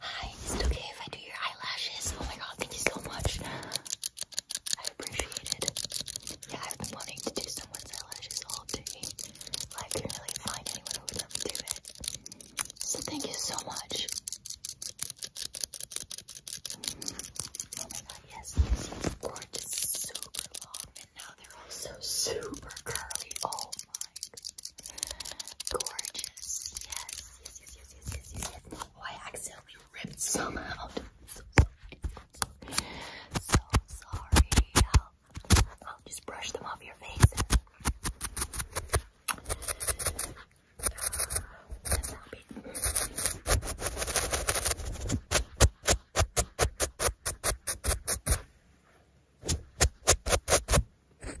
Hi, is it okay if I do your eyelashes? Oh my god, thank you so much. I appreciate it. Yeah, I've been wanting to do someone's eyelashes all day. But I couldn't really find anyone who would let me do it. So thank you so much. Oh my god, yes, yes, yes. Gorgeous, super long, and now they're also super curly. Oh my gorgeous. Yes, yes, yes, yes, yes, yes, yes, yes. Oh, I accidentally ripped some out. So sorry. So sorry. I'll, I'll just brush them off your face. That's how big. Okay. No,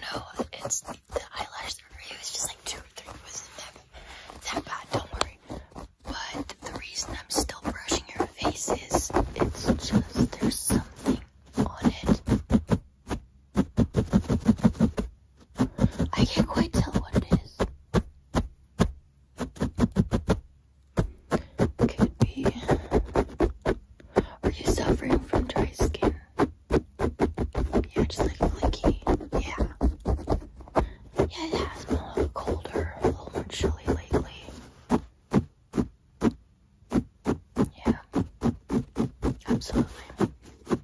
no, it's the eyelash that really was just like two or three wasn't that, that bad, don't worry. But the reason I'm still brushing your face is it's just there's something on it I can't quite tell what it is. Could be. Are you suffering from dry skin? Yeah, just like flaky. Yeah. Yeah, it has been a little colder, a little more chilly lately. Yeah, absolutely. Yeah,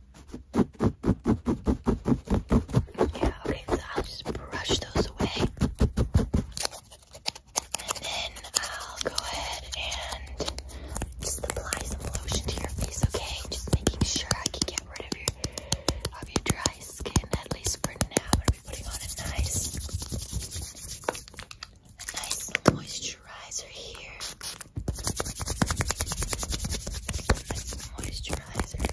okay, so I'll just brush those away. And then I'll go ahead and just apply some lotion to your face, okay? Just making sure I can get rid of your of your dry skin, at least for now. I'm putting on a nice a nice moisturizer here. moisturizer, okay.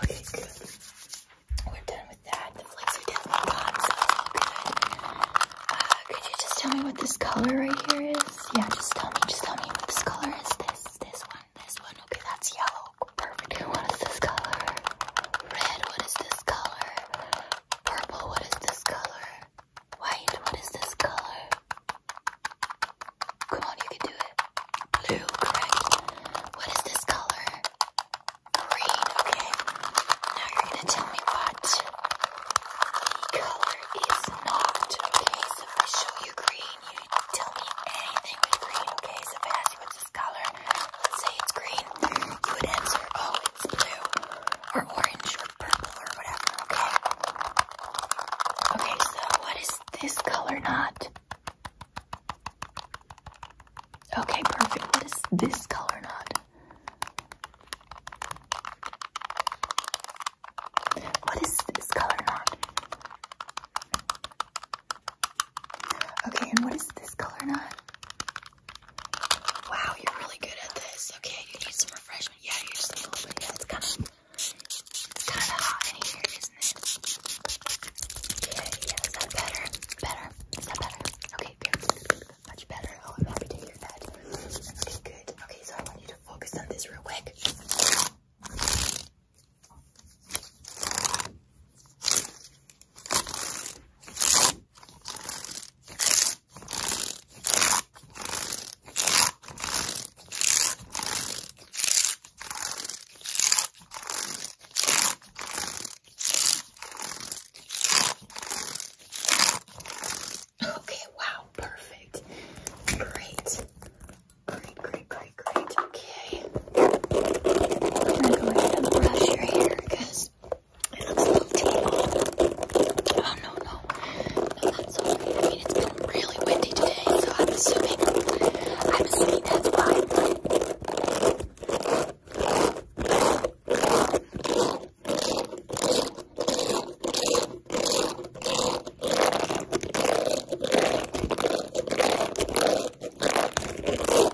Okay, good. We're done with that. The flakes are definitely gone, so it's all good. Uh, could you just tell me what this color right here is? Yeah, just tell me, just tell me what this color is. This, this one. This one. Okay, that's yellow. Perfect. What is this color? Red. What is this color? Purple. What is this color? White. What is this color? Come on, you can do it. Blue. Correct. What is this color? Green. Okay. Now you're gonna tell me what the color is not. Okay, so if I show you green, you tell me anything with green. Okay, so if I ask you what's color. Let's say it's green. You would answer, oh, it's blue or orange or purple or whatever, okay? Okay, so what is this color not? Okay, perfect. What is this color not? What is this color not? Okay, and what is this color Not. Wow, you're really good at this. Okay, you need some refreshment. Yeah, you are just a little bit. Yeah, it's kind of, hot in here, isn't it? Okay, yeah, is that better? Better? Is that better? Okay, good. much better. Oh, I'm happy to hear that. Okay, good. Okay, so I want you to focus on this real quick. Okay, wow, perfect. Great. Great, great, great great. Okay. I'm gonna go ahead and brush your hair because it looks a little tangled. Oh no, no, no, I mean, it's been really windy today, so I'm assuming, I'm assuming that's why.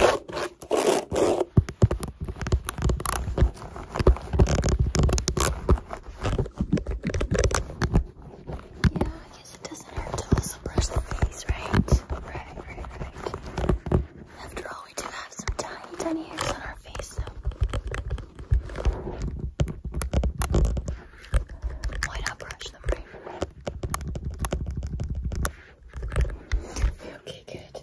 Yeah, I guess it doesn't hurt to also brush the face, right? Right, right, right. After all, we do have some tiny, tiny hairs on our face, so Why not brush them, right? Okay, good.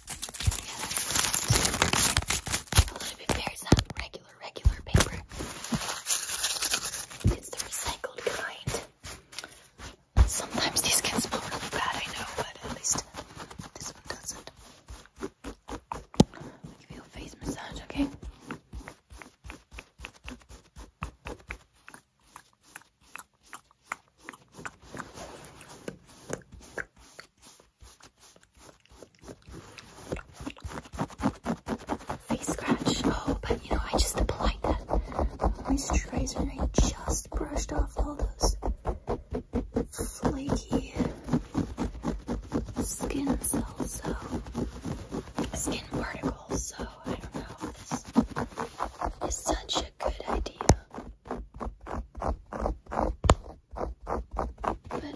a little bit better. It's regular, regular paper. It's the recycled kind. Sometimes these can smell really bad, I know, but at least this one doesn't. give you face massage, okay? Face scratch. Oh, but you know, I just applied that moisturizer and I just brushed off all those flaky skin cells, so skin particles. So I don't know. This is such a good idea. But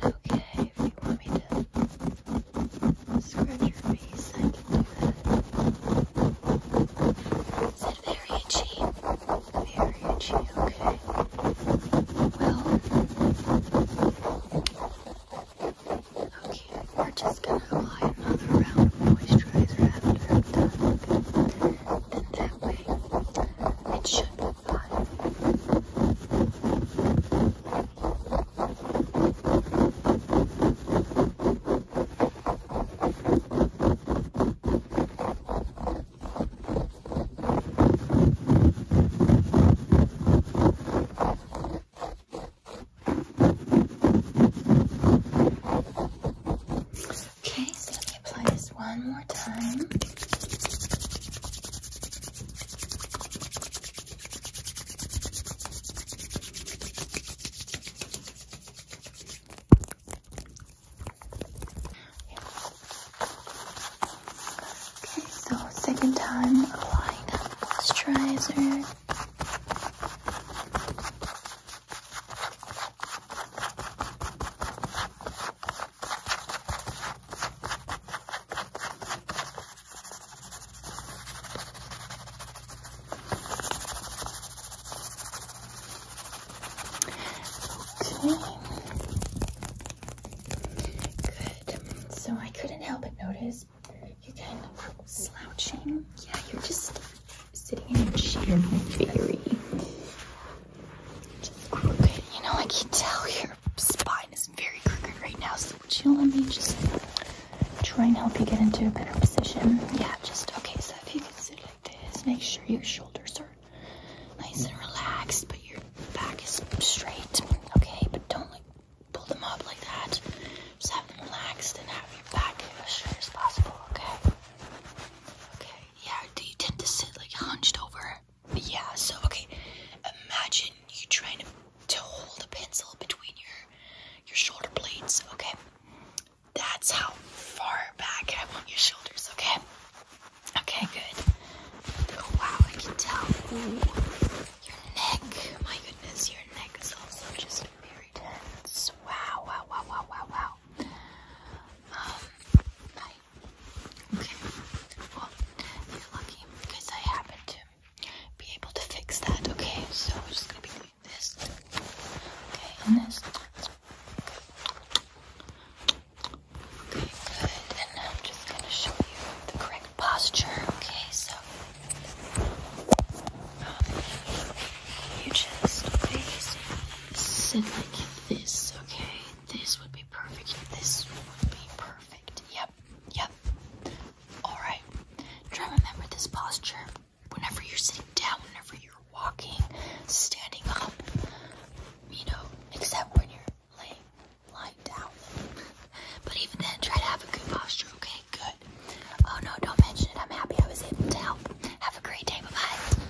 okay, if you want me to scratch your face, I can do that. Is it very itchy? Very itchy, okay. Well, okay, we're just gonna apply another round of moisturizer after i And that way anyway, it should be fine. Okay, so let me apply this one more time. Okay, so second time applying up this Okay. Good. So I couldn't help but notice you're kind of slouching. Yeah, you're just sitting in a chair my theory. Just crooked. You know, I can tell your spine is very crooked right now, so would you let me just try and help you get into a better position? Yeah, just okay, so if you can sit like this, make sure your shoulders are nice and relaxed, but your back is straight. Okay, but don't like pull them up like that. Just have them relaxed and have your back as straight as possible, okay? Okay, yeah, do you tend to sit like hunched over? Yeah, so okay. Imagine you trying to, to hold a pencil between your your shoulder blades, okay? That's how far back I want your shoulders, okay? Okay, good. Oh wow, I can tell. Your neck, my goodness, your neck is also just very tense. Wow, wow, wow, wow, wow, wow um, oh, bye. Okay, well, you're lucky because I happen to be able to fix that, okay? So we're just gonna be doing this, okay, and this. Okay, good. And now I'm just gonna show you the correct posture. Okay, so um, you just please sit like this, okay? This would be perfect. This would be perfect. Yep, yep. Alright. Try to remember this posture. Whenever you're sitting down, whenever you're walking, standing up, you know, except when you're laying lying down. but even then, try to have a good posture, okay? Good. Oh no, don't mention it. I'm happy I was able to help. Have a great day. bye